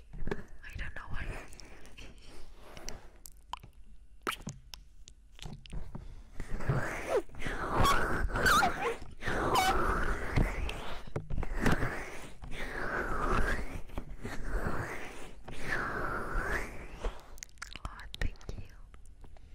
I don't know why. oh, thank you.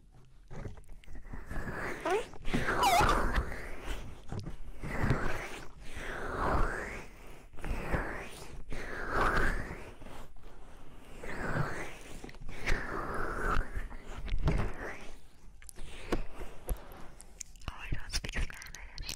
Oh, I don't speak Spanish.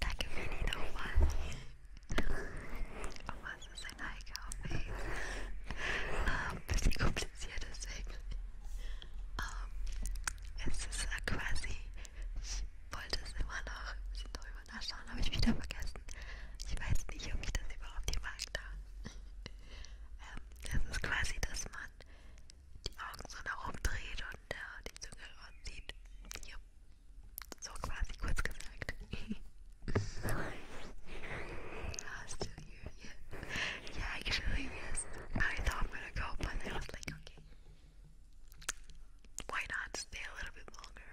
Danke, Mini, nochmal. Oh, was ist ein High Coffee? Ein bisschen kompliziert, deswegen. Um, ähm, es ist äh, quasi, ich wollte es immer noch ein bisschen drüber nachschauen, habe ich wieder vergessen. Ich weiß nicht, ob ich das überhaupt hier mag darf. ähm, das ist quasi, dass man die Augen so nach oben dreht und äh, die Zunge ranzieht. Ja. So quasi kurz gesagt. uh, still here, yeah. Yeah, actually, yes. I thought I'm gonna go, but I was like, okay. Why not stay a little bit longer?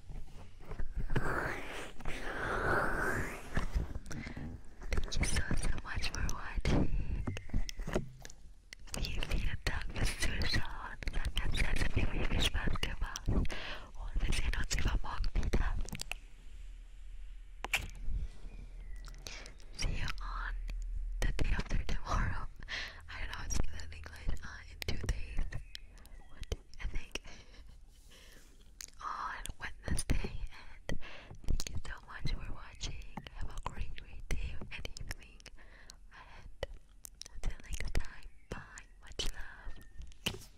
Thank you so, so much for watching. Vielen, Dank fürs Zuschauen. Dann ganz herzlich viel Spaß gemacht. Und wir sehen uns übermorgen wieder. See you on the day after tomorrow. I don't know how to say in English. Uh, in two days. What? I think on Wednesday and thank you so much for watching. Have a great day and evening. And until next time, bye. Much love. Bis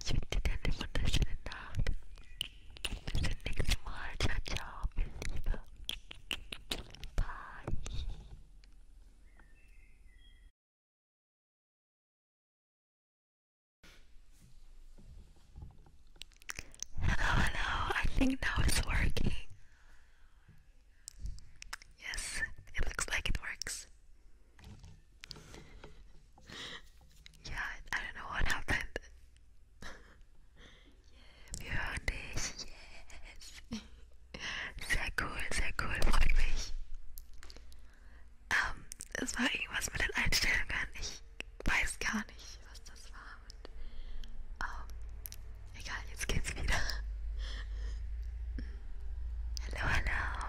zum nächsten Mal. Ciao, ciao, Bye. Hello, hello. I think now it's working. Yes, it looks like it works. Yeah, I don't know what happened. yeah, beauty, yes. Sehr cool, sehr cool, freut mich. Ähm, es war irgendwas mit den Einstellungen. Ich weiß gar nicht, was das war. Und, ähm, egal, jetzt geht's wieder. Hallo, hallo.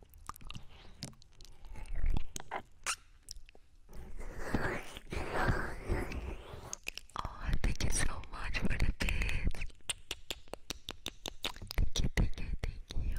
Oh, thank you so much for the bits. Thank you, thank you, thank you.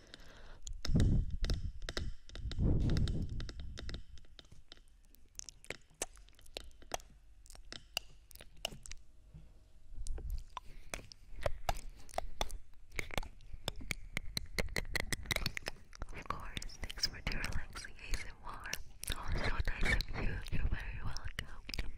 Of course, thanks for the relaxing ASMR. Oh, so nice of you. You're very welcome.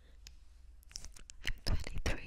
I'm 23.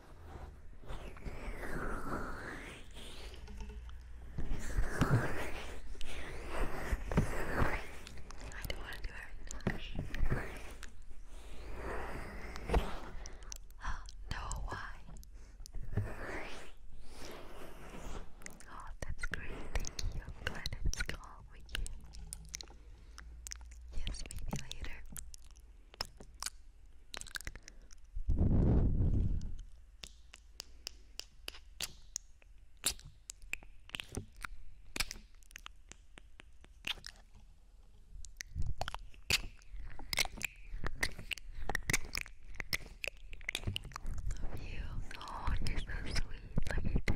I don't want to do it Oh, no, why? Oh, that's great. Thank you. I'm glad it's calm with you. Yes, maybe later. Love you. Oh, you're so sweet. Love you too.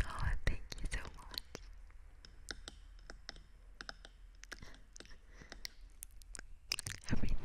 Oh, thank you so much. Everything.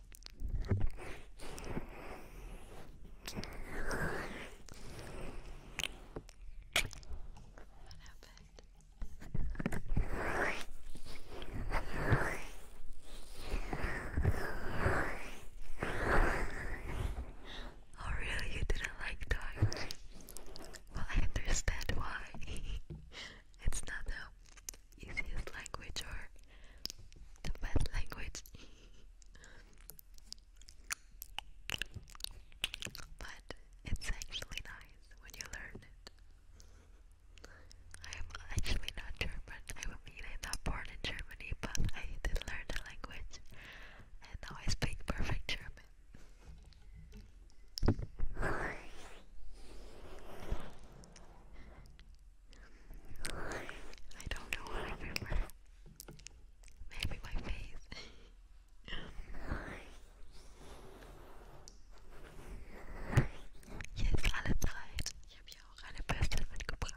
Oh, really? You didn't like dogs? Well, I understand why. it's not easiest language or the best language. but it's actually nice when you learn it. I'm actually not German. I mean, I'm not born in Germany, but I did learn the language, and now I speak perfect German. I don't know Maybe my face. Hier ist alles rein. Ich habe hier auch eine Bürste mitgebracht.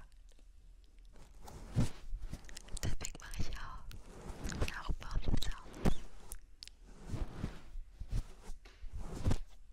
Deswegen mache ich auch. Und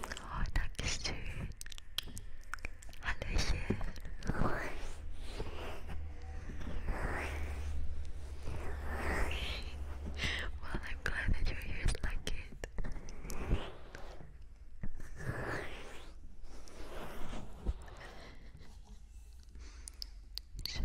Oh, thank you, Steve. Hallöchen. Well, I'm glad that your ears like it. So.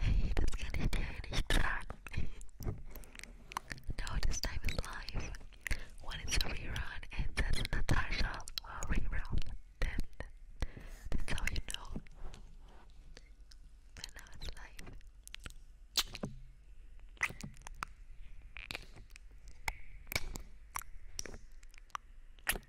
Hey, das kann ich dir nicht sagen. no, this time is live. One a rerun and that's Natasha a uh, rerun. Then that's how you know when I was live.